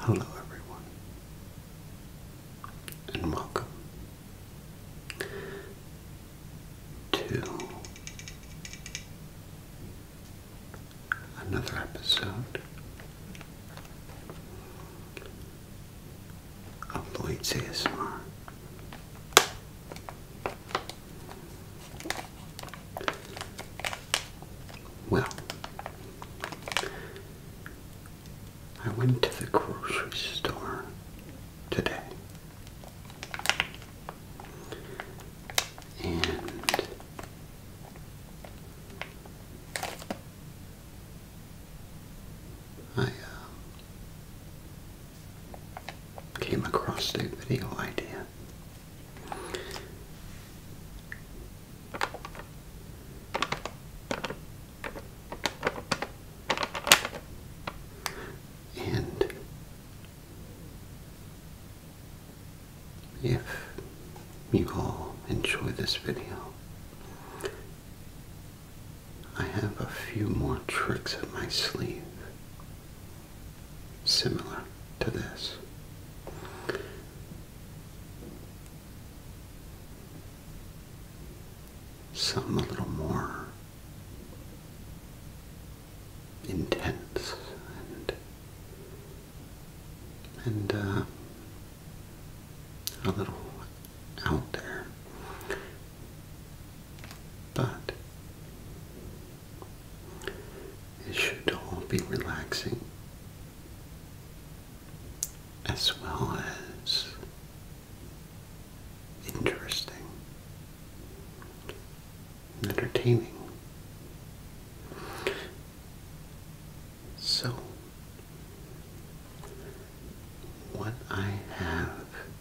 Hello, everyone, and welcome to another episode of Lloyd's ASMR. Well, I went to the grocery store today. And I uh, came across a video idea. And if you all enjoy this video, I have a few more tricks up my sleeve, similar to this. Something a little more intense and and uh, a little out there, but it should all be relaxing as well as interesting, entertaining. So, what I have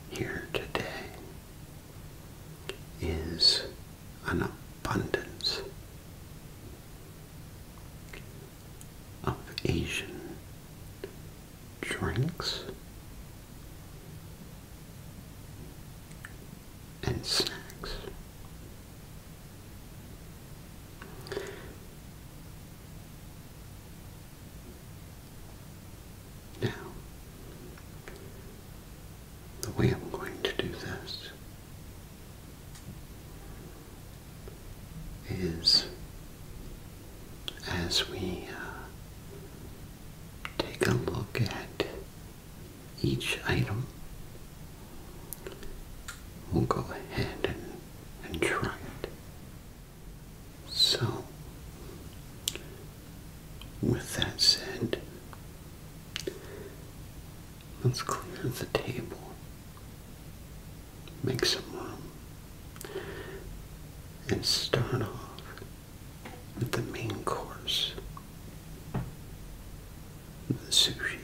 here today is an abundance of Asian drinks and snacks. Now, the way I'm going to do this is as we uh, take a look at each item, we'll go ahead and, and try it. So, with that said, Let's clear the table. Make some room. And start off with the main course. The sushi.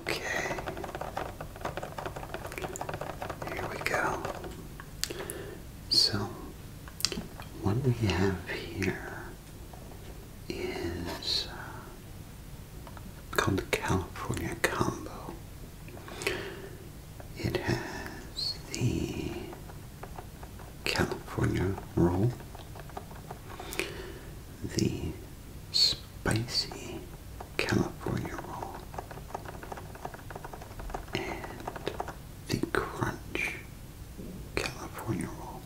Okay. Here we go. So what we have here is uh, called the California Combo. It has the California roll, the spicy California roll, and the crunch California roll.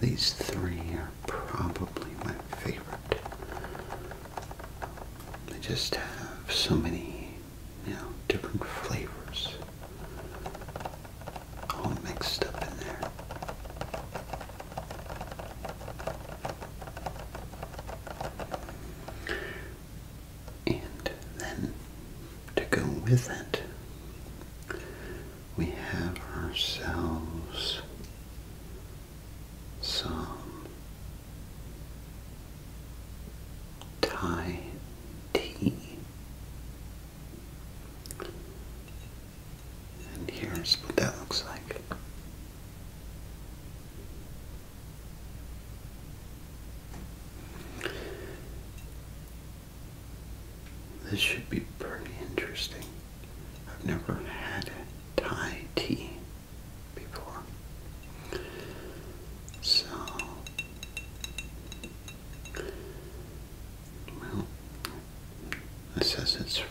These three are probably my favorite. They just have so many, you know, different flavors all mixed up in there. And then to go with it, we have ourselves some Thai tea. And here's what that looks like. This should be pretty interesting. I've never had Thai tea before. So, well, it says it's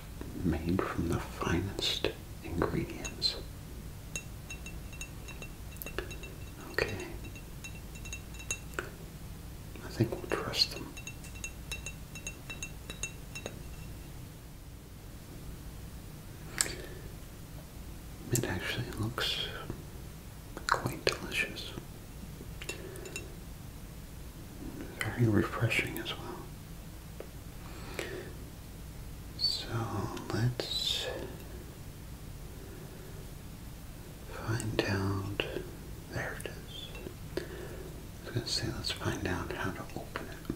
made from the finest ingredients. Okay. I think we'll trust them. It actually looks quite delicious. Very refreshing as well. So let's find out. There it is. I was going let's find out how to open it.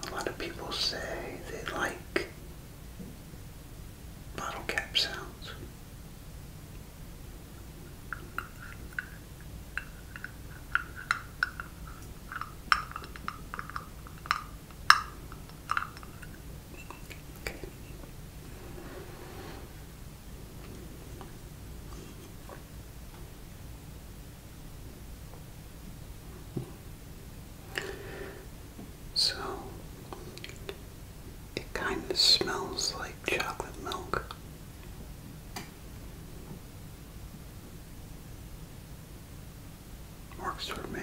A lot of people say they like bottle cap sounds. So it kind of smells like chocolate milk. Works for me.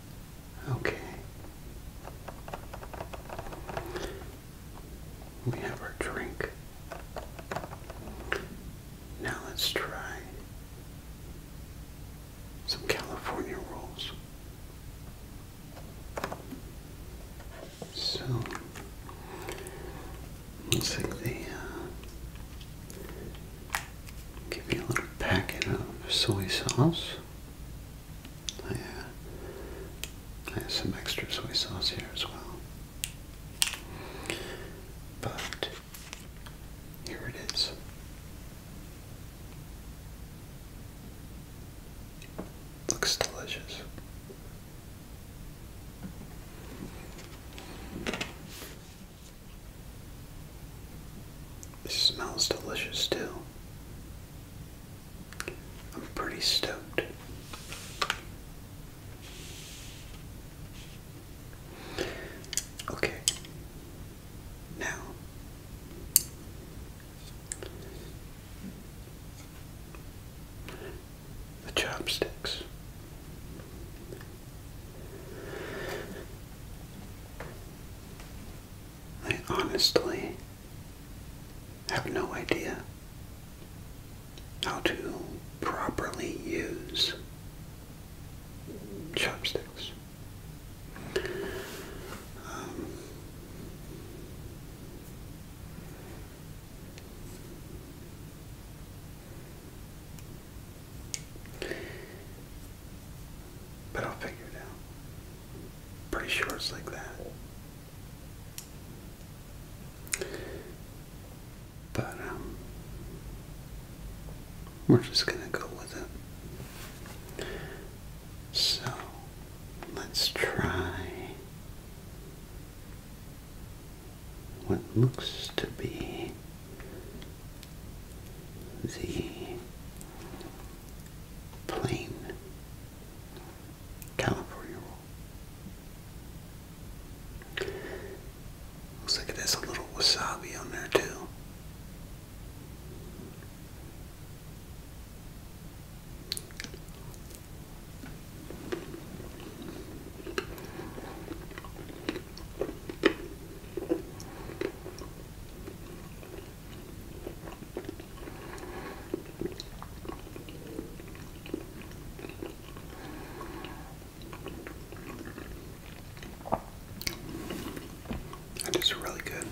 Okay. We have our drink. Now let's try some California rolls. So, looks like they uh, give me a little packet of soy sauce. I, I have some extra soy sauce here as well. But here it is. Looks delicious. This smells delicious too. I'm pretty stoked. Okay. Now, the chopsticks. I honestly have no idea how to properly use chopsticks. Um, but I'll figure it out. Pretty sure it's like that. But, um, we're just gonna go with it. So, let's try what looks to be the plain California roll. Looks like it has a little wasabi on there too. That is really good.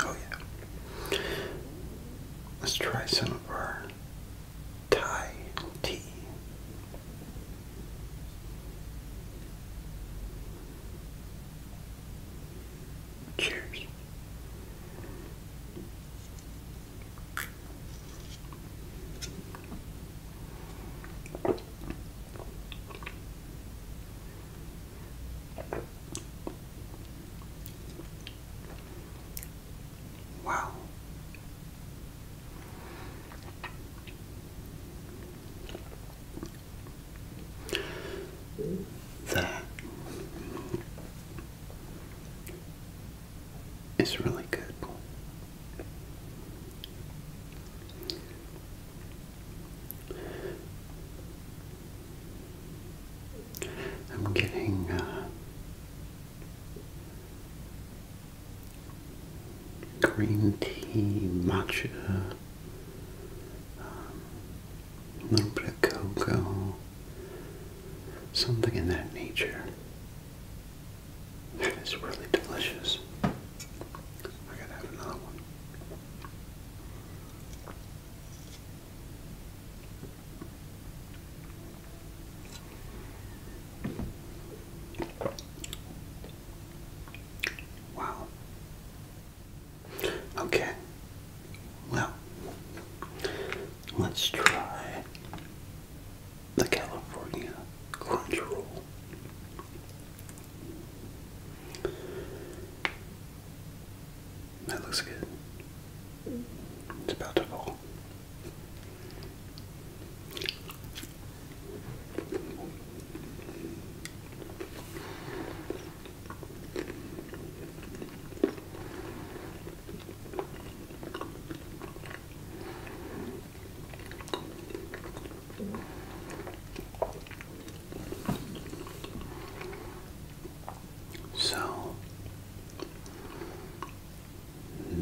Oh, yeah. Let's try some number tie T. Cheers. Wow. That is really good. I'm getting uh, green tea, matcha, um, a little bit of cocoa, something in that nature. That is really delicious. I gotta have another one. Wow. Okay. Well, let's try the California Crunch Roll. That looks good. It's about to fall. So,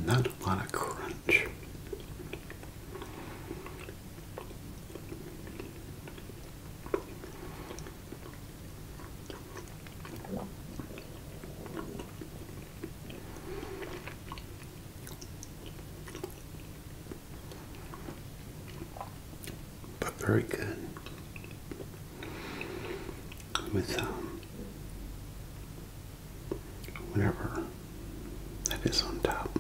not a lot of crunch. But very good with um, whatever that is on top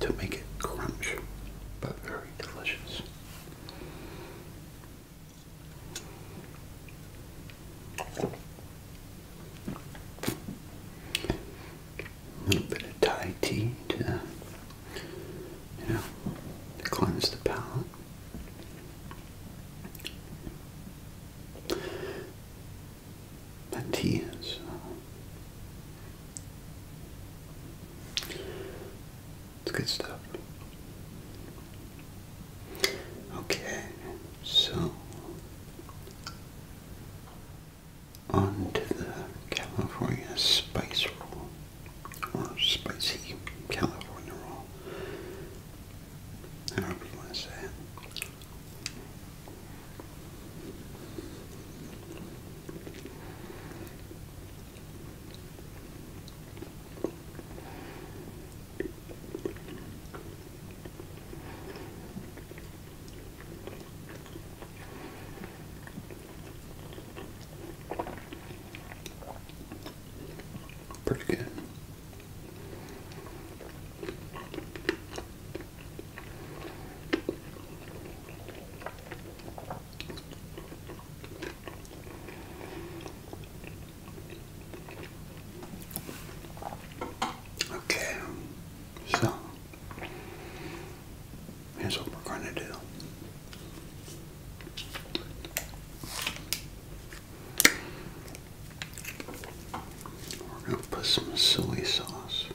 to make it crunch, but very delicious. A bit of Thai tea to, you know, cleanse the palate. Matthias. Uh, it's good stuff. Okay, so on to the California spice roll or spicy California roll, however you want to say it. Pretty good. Okay, so here's what we're going to do. We're going to put some soy sauce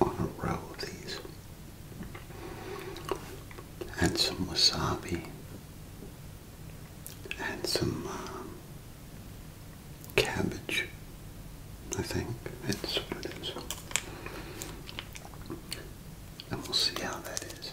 on a row of these. Add some wasabi. Add some um, cabbage, I think. That's what it is and we'll see how that is.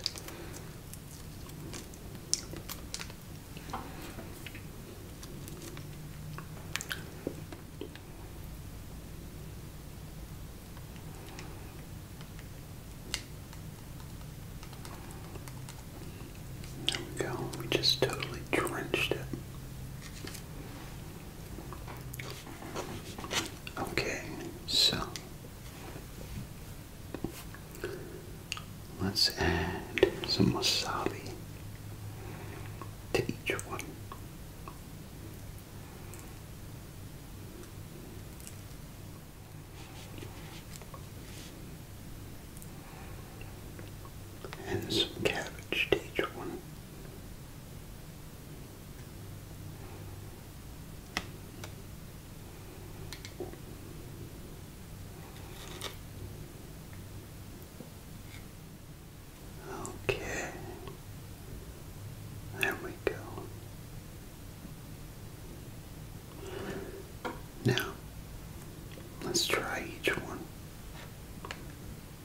There we go. We just totally drenched it. Okay, so Let's add some wasabi to each one. And some cabbage to each one. Okay, there we go. Now, let's try each one,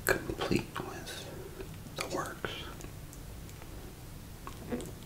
complete with the works.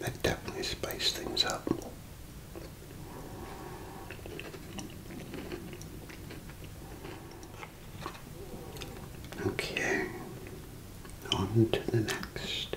that definitely spiced things up. Okay, on to the next.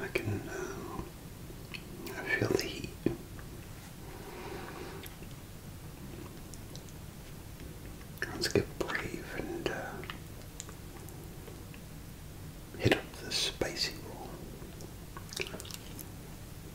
I can um, feel the heat. Let's get brave and uh, hit up the spicy roll.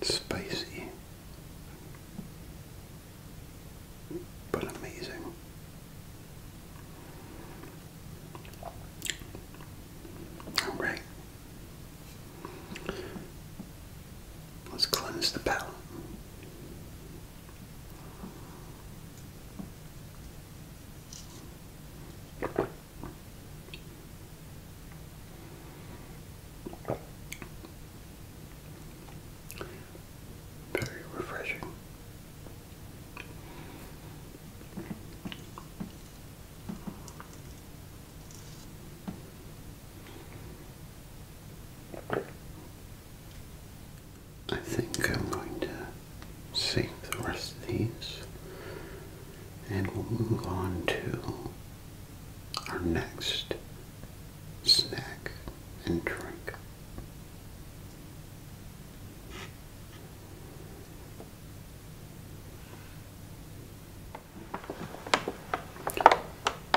Spicy, but amazing. All right. Let's cleanse the palate. Very refreshing. I think I'm going to save the rest of these and we'll move on to our next snack and drink.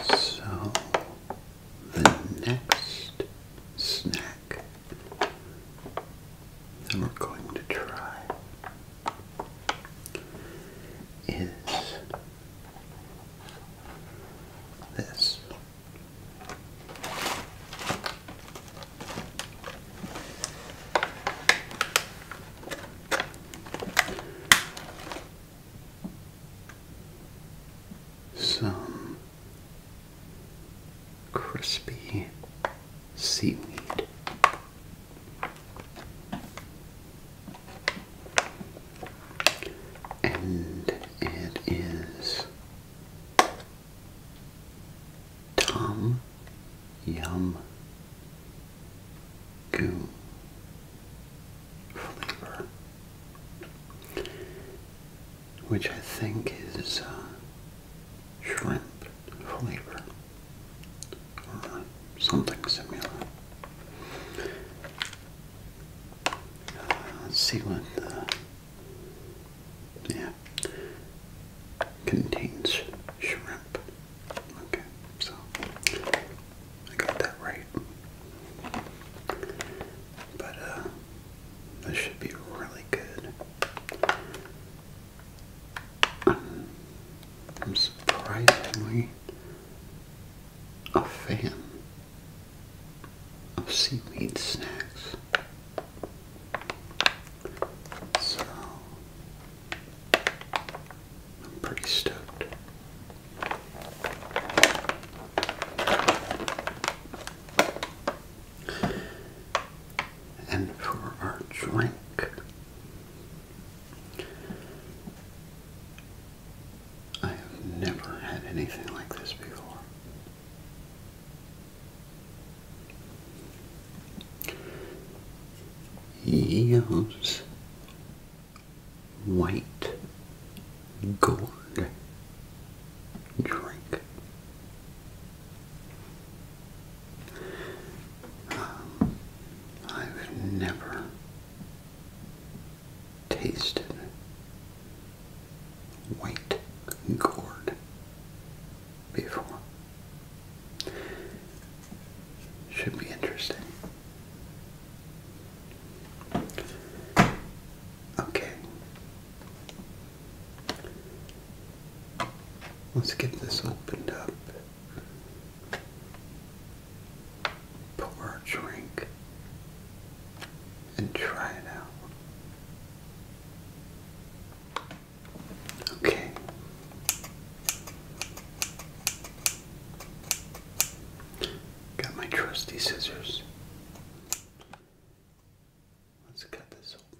So, the next snack that we're going to try is this. Some crispy seaweed and it is Tom Yum Goo flavor, which I think is uh, shrimp flavor or something similar. Uh, let's see what yeah contains shrimp. Okay, so I got that right. But uh this should be really good. I'm surprisingly a fan of seaweed snacks. So I'm pretty stoked. And for our drink, I have never had anything like this before. Yeo's White Gourd Drink. I've never tasted white gourd before. Should be interesting. Okay. Let's get this opened up pour a drink and try it out. Okay. Got my trusty scissors. Let's cut this open.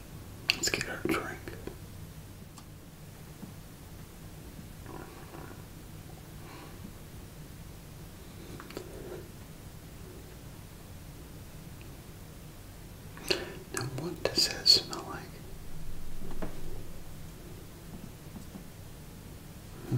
Let's get our drink. Now, what does that smell like? Hmm.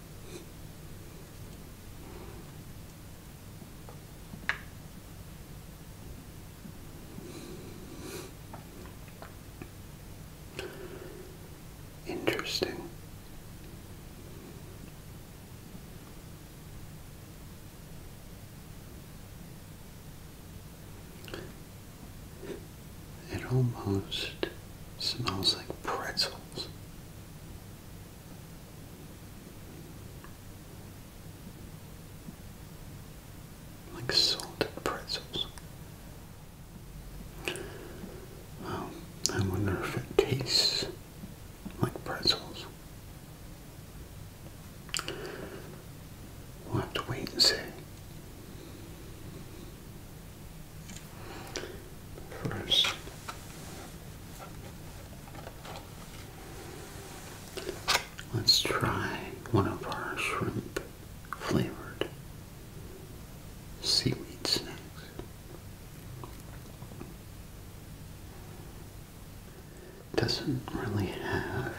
Interesting. It almost smells like pretzels. Like salted pretzels. Well, I wonder if it tastes like pretzels. We'll have to wait and see. First, let's try one of our shrimp flavored seaweed snacks. Doesn't really have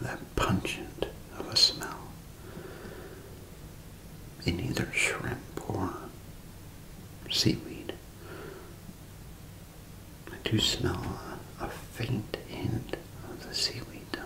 that pungent of a smell in either shrimp or seaweed. I do smell a, faint hint of the seaweed though.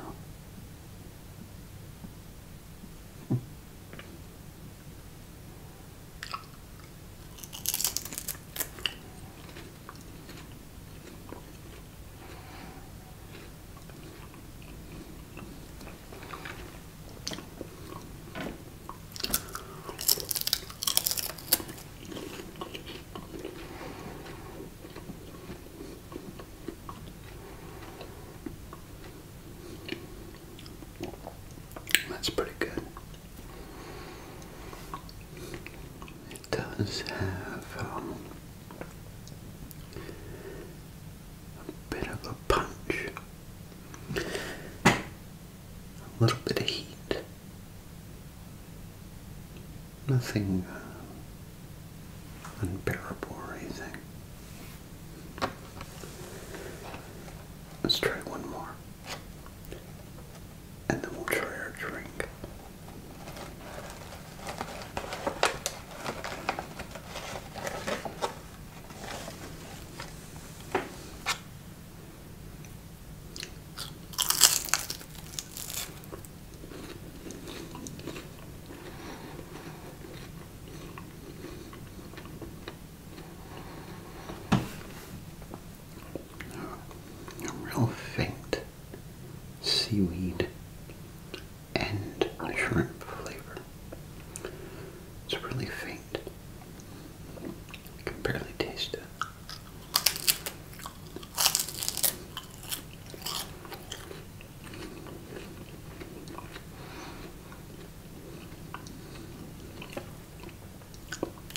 That's pretty good. It does have um, a bit of a punch. A little bit of heat. Nothing uh, unbearable or anything. Let's try one more. And then we'll try our drink. A real faint seaweed and shrimp flavor. It's really faint. I can barely taste it.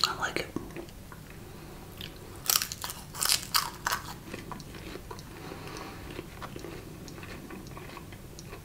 I like it.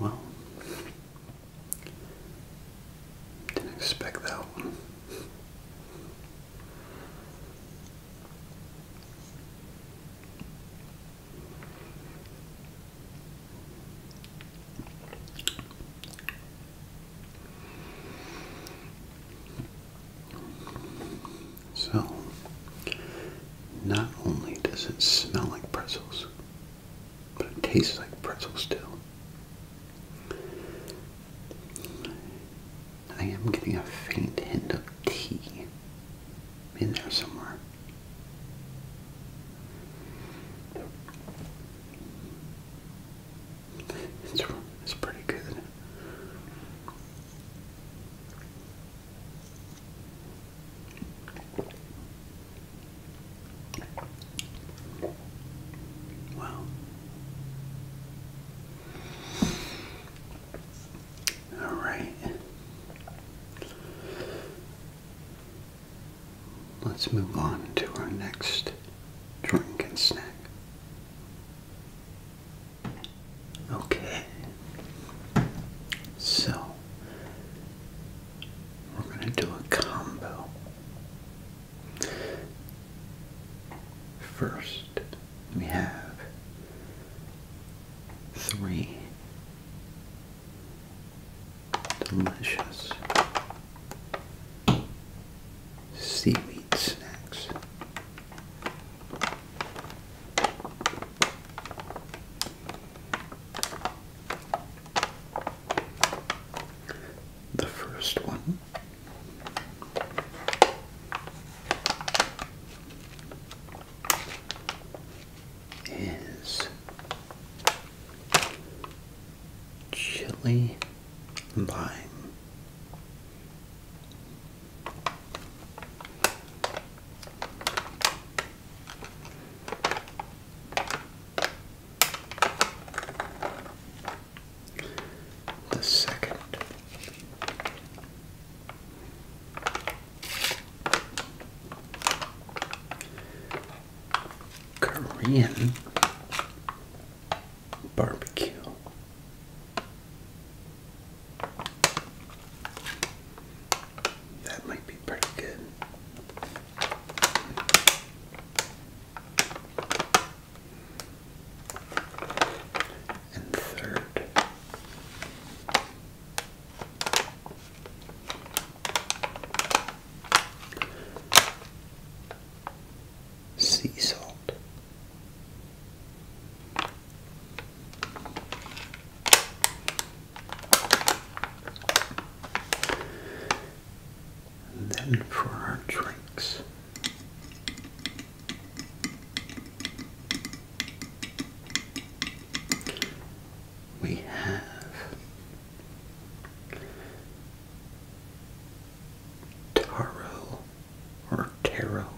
Well, didn't expect that one. So, not only does it smell like pretzels, but it tastes like pretzels too. I am getting a faint hint of tea in there somewhere. It's, it's pretty good. Wow. All right. Let's move on to our next drink and snack. Okay. So we're going to do a combo. First, we have three delicious seaweed snacks. The first one is chili lime. The second. Korean barbecue that might be pretty good. And third. Sea salt then for our drinks. We have taro or taro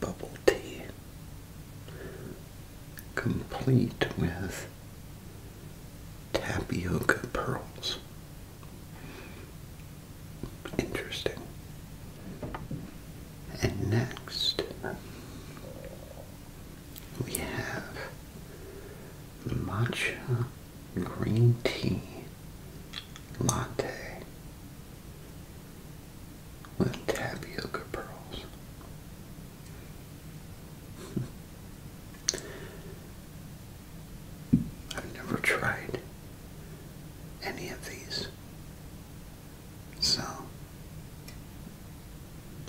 bubble tea, complete with tapioca pearls. Interesting. And next, we have matcha green tea latte with tapioca pearls. I've never tried any of these, so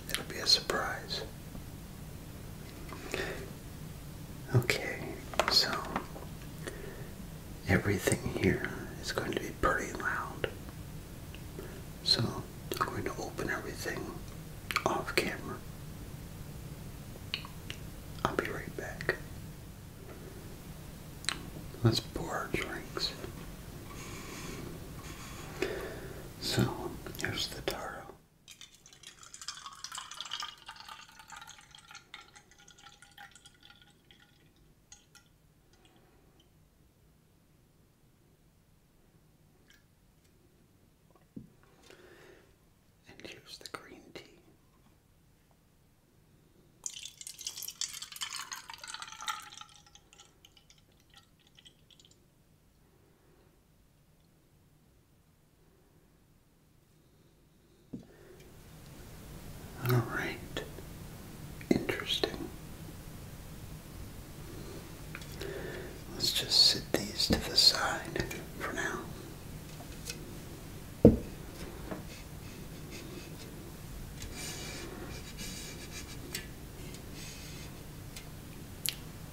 it'll be a surprise. Okay, so everything here is going to be pretty loud. So I'm going to open everything off camera. I'll be right back. Let's pour our drinks. So here's the taro. And here's the green tea. All right. Interesting. Let's just sit these to the side for now.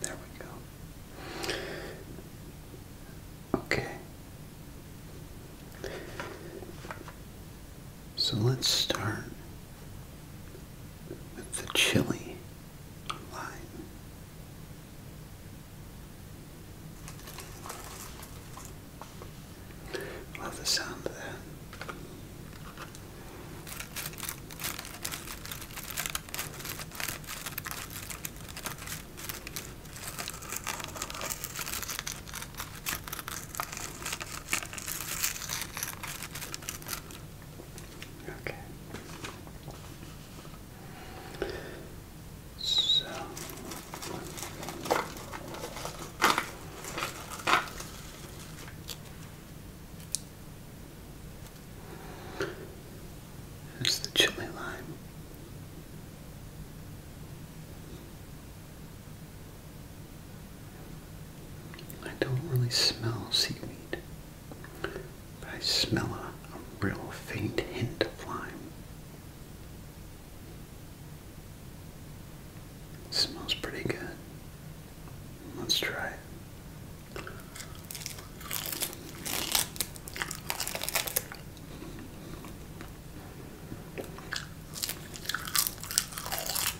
There we go. Okay. So let's start with the chili line. Love the sound of that. Okay. So it's the chili lime. I don't really smell seaweed, but I smell a, a real faint hint of lime. It smells pretty good. Let's try it.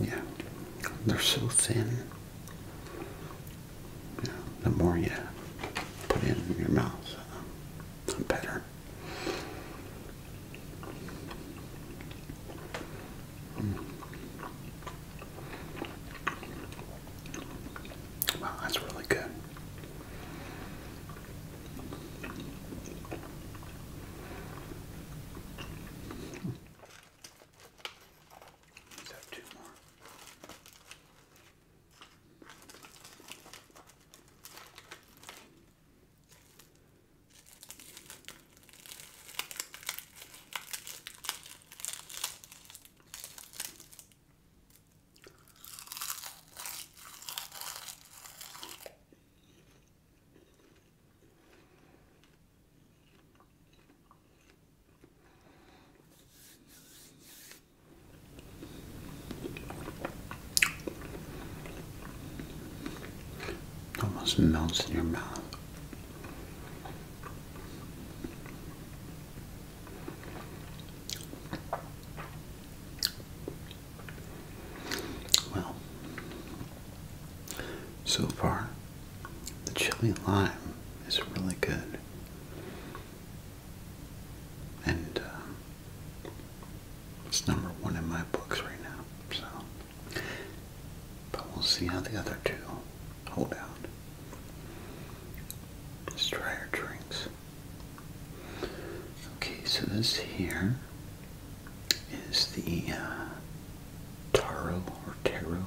Yeah, they're so thin. Yeah, the more you put in your mouth, uh, the better. Hmm. Wow, that's really good. Let's have two more. It almost melts in your mouth. Well, so far, the chili lime is really good. And um, it's number one in my books right now. So, but we'll see how the other two hold out. Let's try our drinks. Okay, so this here is the uh, taro or taro.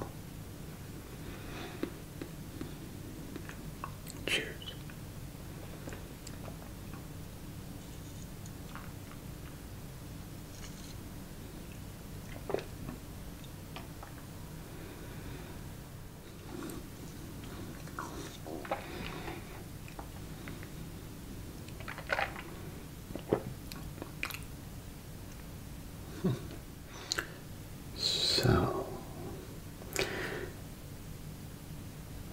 Cheers. So,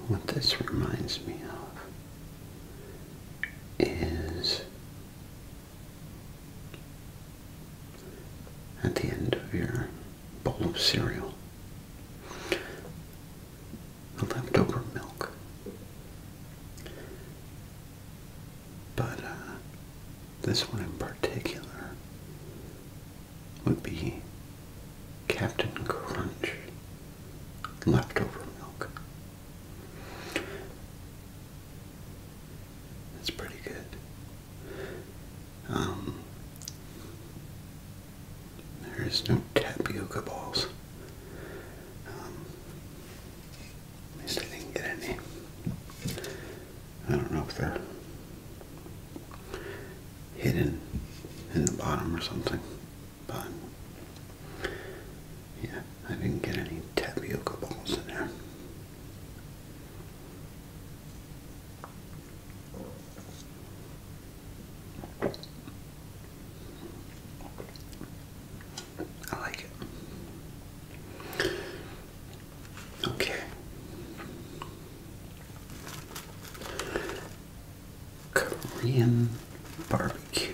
what this reminds me of is at the end of your bowl of cereal, leftover milk. But uh, this one in particular would be Captain Crunch leftover milk. It's pretty good. Um, there is no tapioca balls. Um, at least I didn't get any. I don't know if they're hidden in the bottom or something, but yeah, I didn't get any tapioca balls in there. I like it. Okay. Korean barbecue.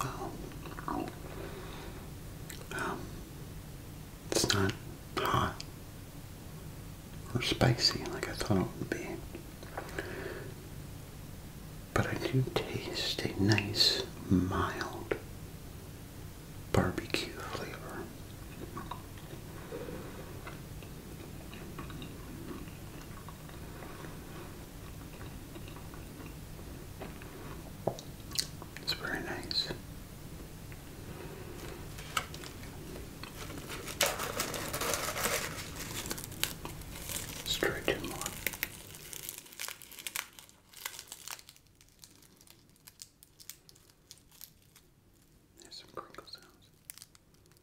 Well, um, it's not hot or spicy like I thought it would be. But I do taste a nice, mild barbecue flavor. It's very nice. Let's try There's some crinkle sounds.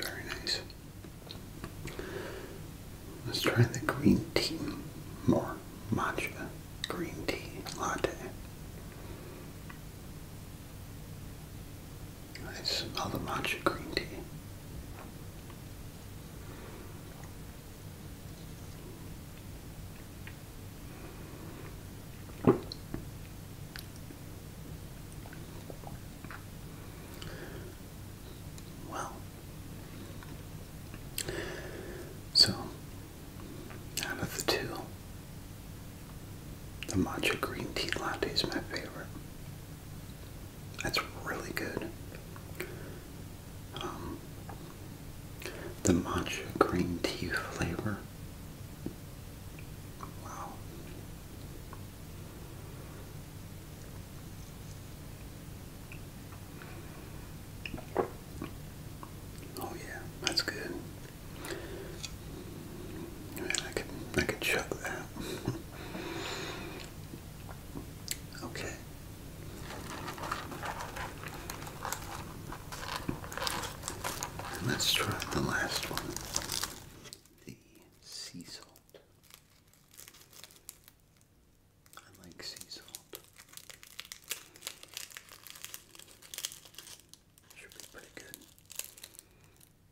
Very nice. Let's try the green tea more. Matcha green tea latte. I smell the matcha green tea. Well, so out of the two, the matcha green tea latte is my favorite. That's really good. Um, the matcha green tea flavor. Wow. Oh yeah, that's good. I, mean, I could I that. Okay. let's try the last one. The sea salt. I like sea salt. Should be pretty good.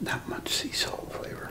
that much sea salt flavor.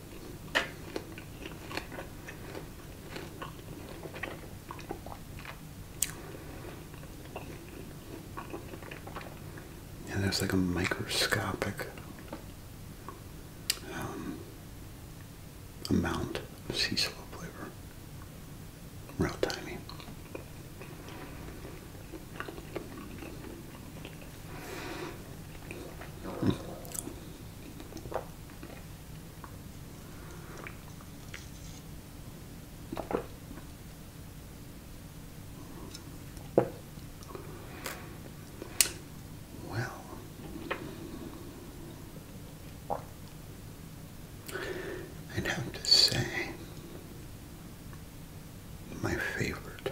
And there's like a microscopic um, amount of sea salt flavor. Real tiny. Well, I'd have to say my favorite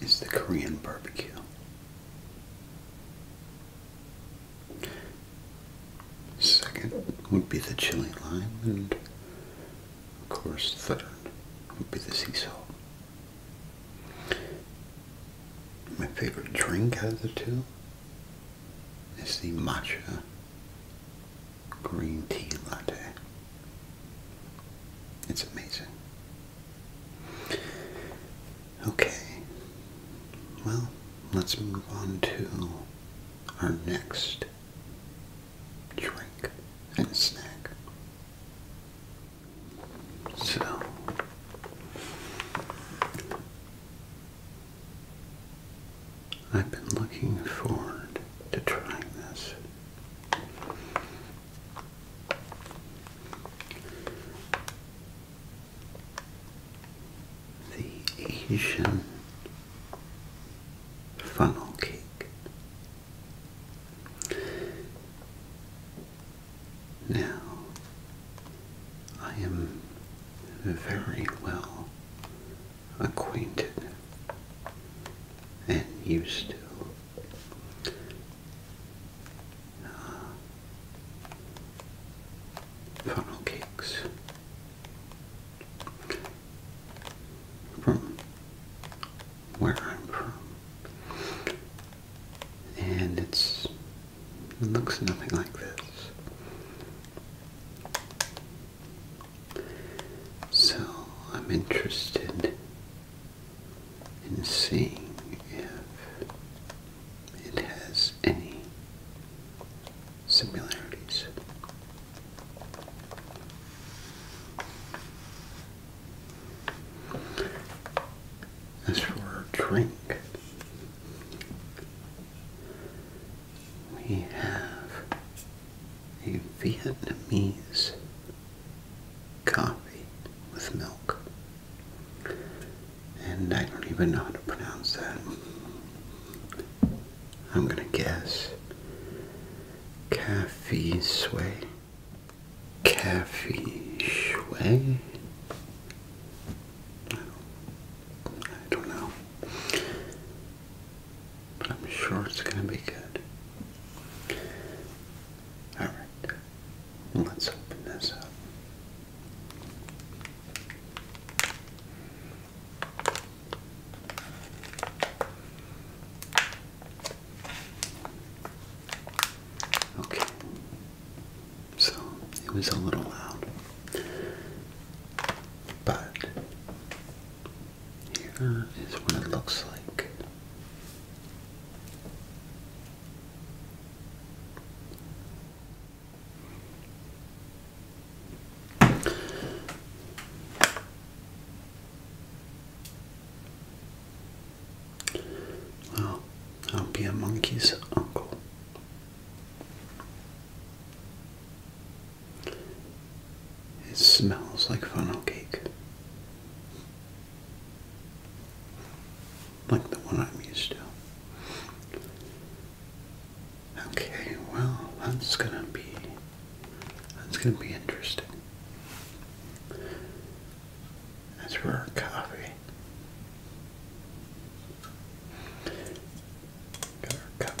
is the Korean barbecue. Second would be the chili lime, and of course, third would be the sea salt. My favorite drink out of the two is the matcha green tea latte. It's amazing. Okay, well, let's move on to our next drink and snack. So, I've been looking forward to trying this. The Asian funnel cake. Now, I am very well acquainted and used to funnel cakes from where I'm from. And it's, it looks nothing like this. So I'm interested and seeing if it has any similarities. As for a drink, we have a Vietnamese coffee with milk. And I don't even know how to pronounce that. I'm gonna guess. Cafe Sway. Cafe Sway? I I don't know. But I'm sure it's gonna be good. Alright. Let's open this up. Okay, so it was a little loud, but here is what it looks like. Well, I'll be a monkey's uncle. It smells like funnel cake like the one I'm used to. Okay, well, that's gonna be that's gonna be interesting. That's for our coffee. Got our cup.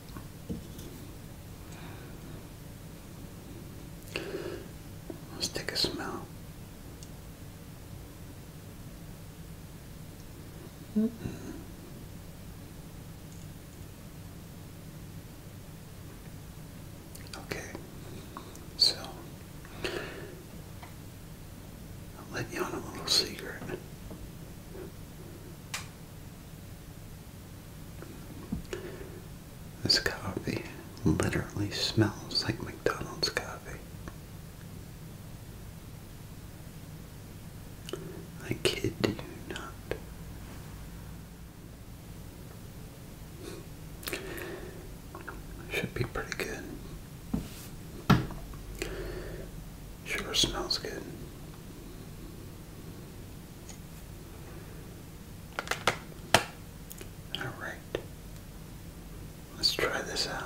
Let's take a smell. Mm-hmm. Okay, so I'll let you on a little secret. This coffee literally smells like McDonald's coffee. I kid you not. Should be pretty good. Sure smells good. Alright, let's try this out.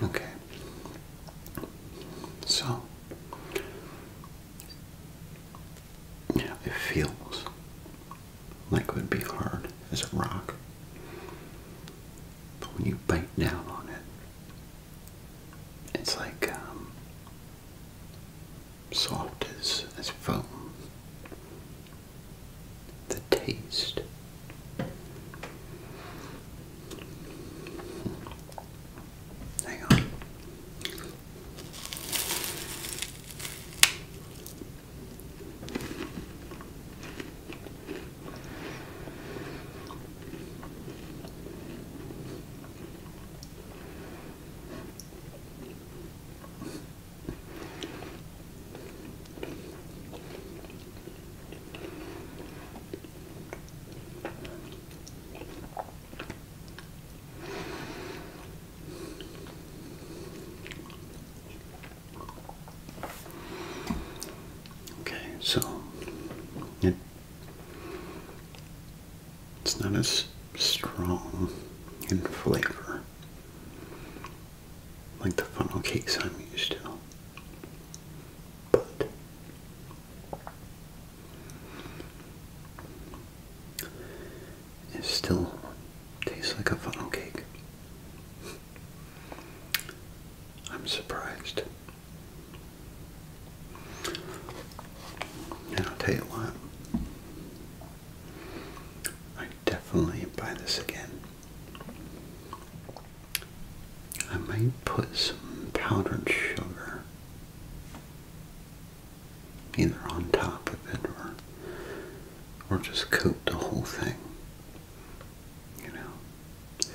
Okay. So yeah, it feels like it would be hard as a rock. But when you bite down on it, it's like um, soft as, as foam the taste. Hang on. Okay, so it it's not as strong in flavor like the funnel cake I'm used to. But it still tastes like a funnel cake. I'm surprised. And I'll tell you what, definitely buy this again. I might put some powdered sugar either on top of it or or just coat the whole thing. You know.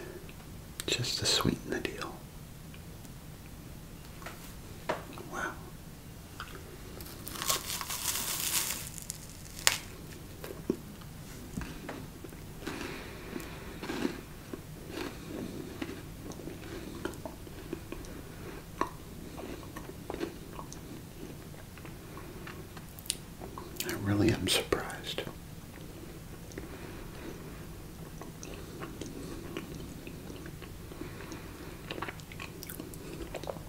Just to sweeten the deal. Wow. I really am surprised.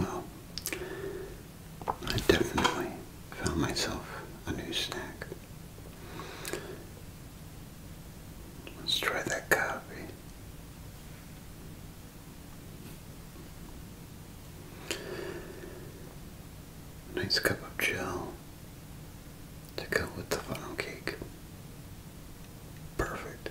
Well, I definitely found myself a new snack. Let's try that coffee. Nice cup of gel to go with the funnel cake. Perfect.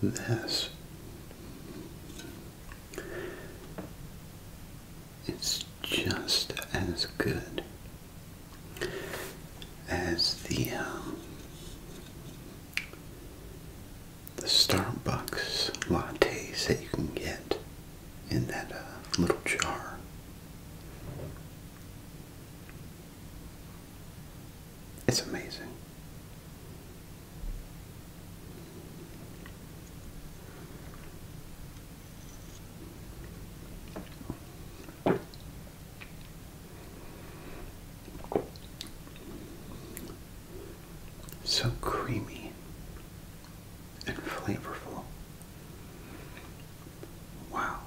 This is just as good as the um, the Starbucks lattes that you can get in that uh, little jar. It's amazing. So creamy and flavorful. Wow.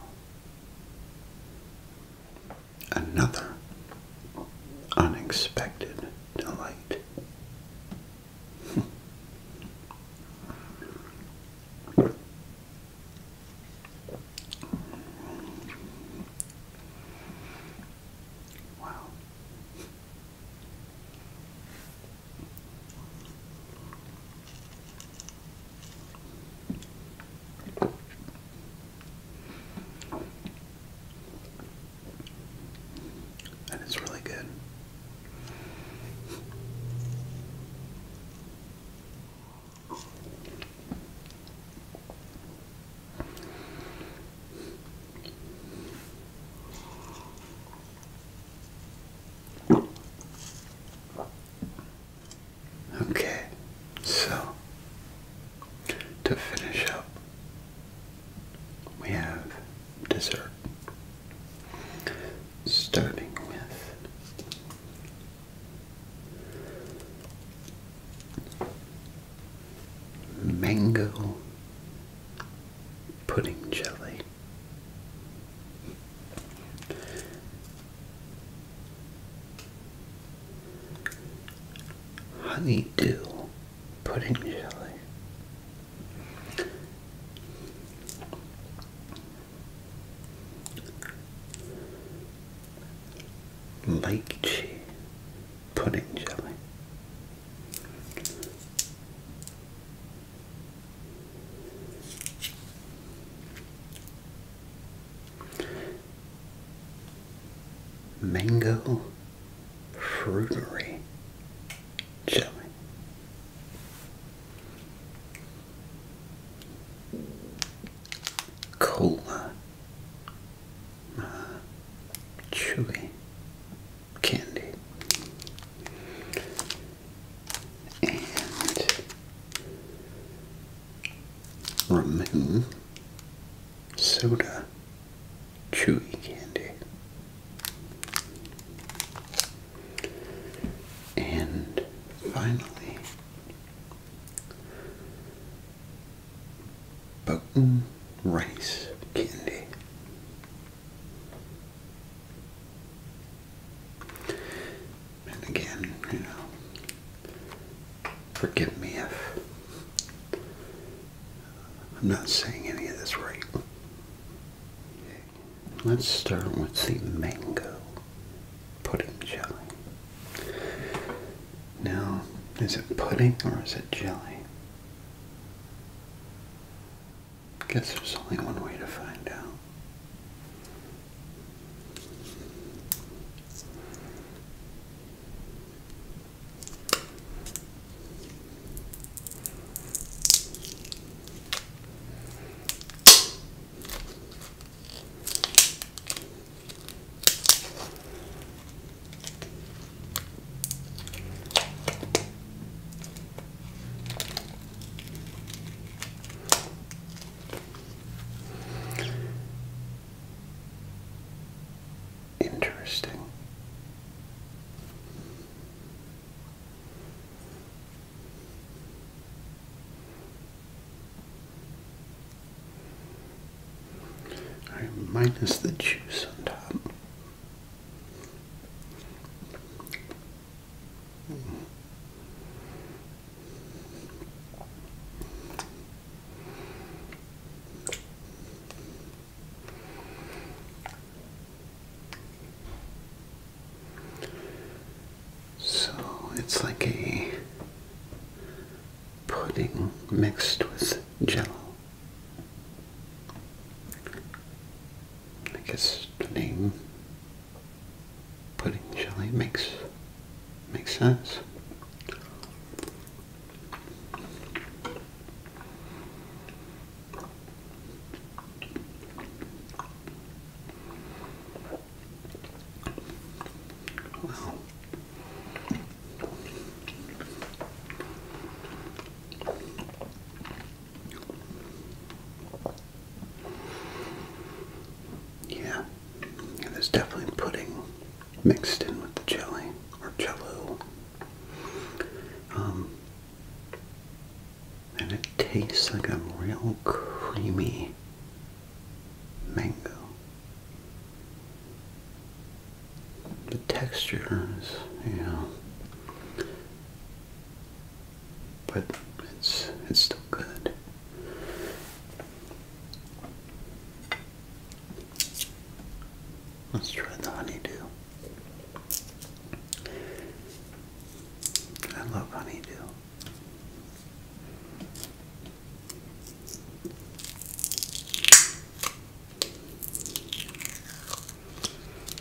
Another unexpected delight. wow. And it's really good. Okay, so to finish up, we have dessert. Starting with mango pudding jelly. Honeydew pudding jelly. Lychee pudding jelly. Mango Fruitery Jelly. Cola. Uh, chewy candy. And remove soda chewy candy. And finally, Button rice candy. And again, you know, forgive me if I'm not saying any of this right. Let's start with the mango pudding jelly. Now, is it pudding or is it jelly? Guess there's only one way to find out. Interesting. All right, minus the juice on top. So it's like a pudding mixed with gel. I guess the name pudding jelly makes makes sense. Yeah, yeah there's definitely pudding mixed in with the jelly or jello. Um, and it tastes like a real creamy mango. The texture is, you know, but it's it's still good. Let's try the honeydew. I love honeydew.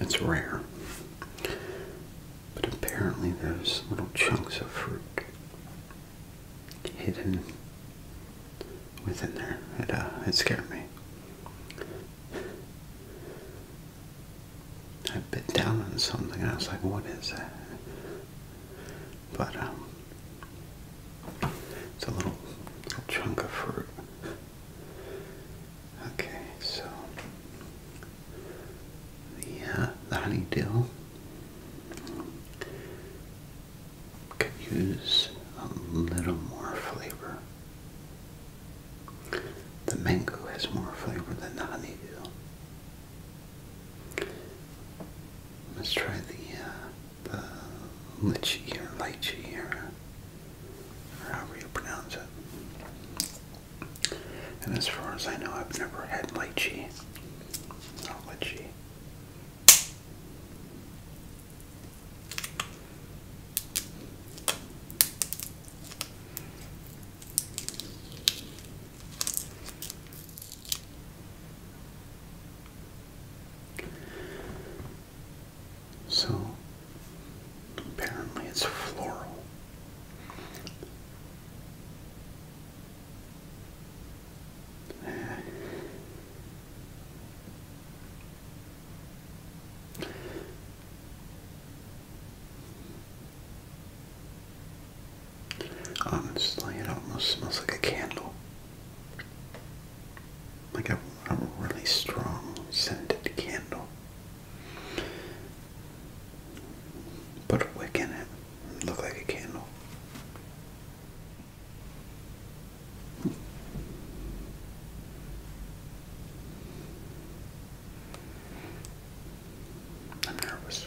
it's rare. But apparently there's little chunks of fruit hidden within there. It, uh, it scared me. I bit down on something and I was like, what is that? But, um, it's a little, little chunk of fruit. Okay, so the, the honeydew could use a little more flavor. The mango has more flavor than the honeydew. Let's try the uh, the lychee or lychee however you pronounce it. And as far as I know, I've never had lychee. Not lychee. So apparently it's floral. Honestly, it almost smells like a candle like a, really strong scented candle. Put a wick in it look like a candle. I'm nervous.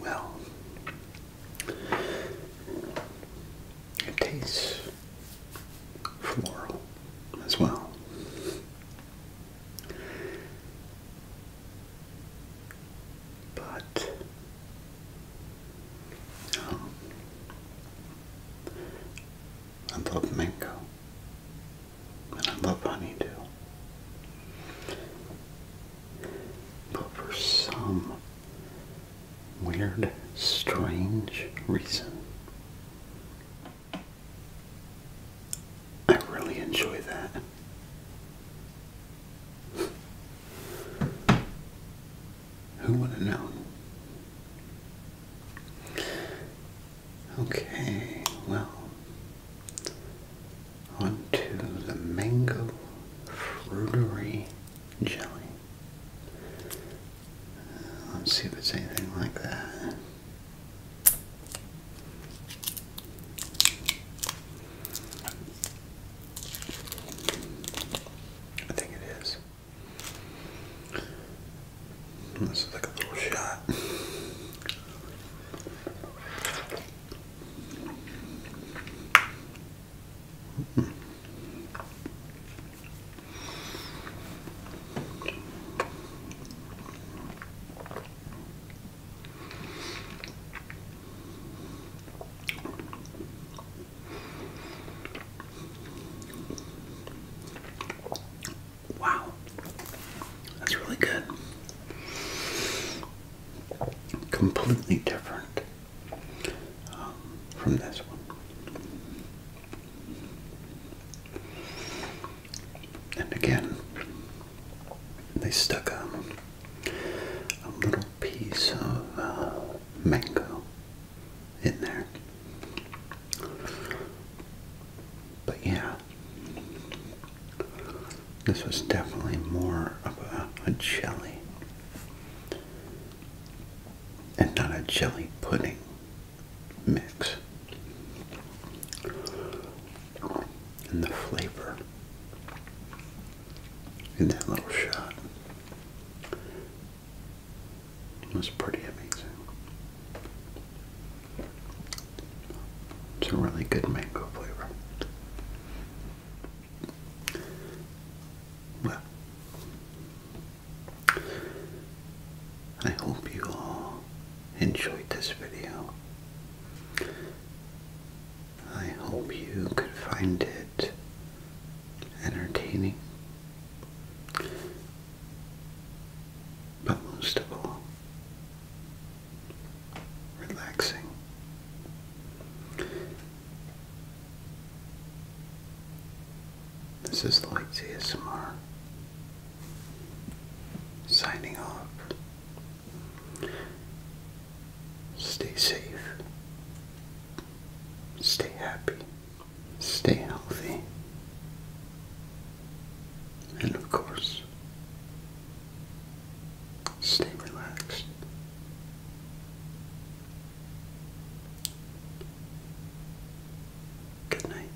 Well, it tastes floral as well. But oh, I love mango, and I love honeydew. But for some weird, strange reason, I really enjoy that. Who would have known? Okay, well, onto the mango fruitery jelly. let's see if it's anything like that. I think it is. This is like a little shot. Wow, that's really good. Completely different um, from this one and again they stuck a little piece of uh, mango in there. But yeah, this was definitely more of a jelly and not a jelly pudding mix and the flavor in that little shot was pretty amazing. It's a really good mango flavor. Well, I hope you all enjoyed this video. I hope you could find it entertaining. But most of all, relaxing. This is Lloyd's ASMR, signing off. Stay safe, stay happy, stay healthy, and of course, stay relaxed. Good night.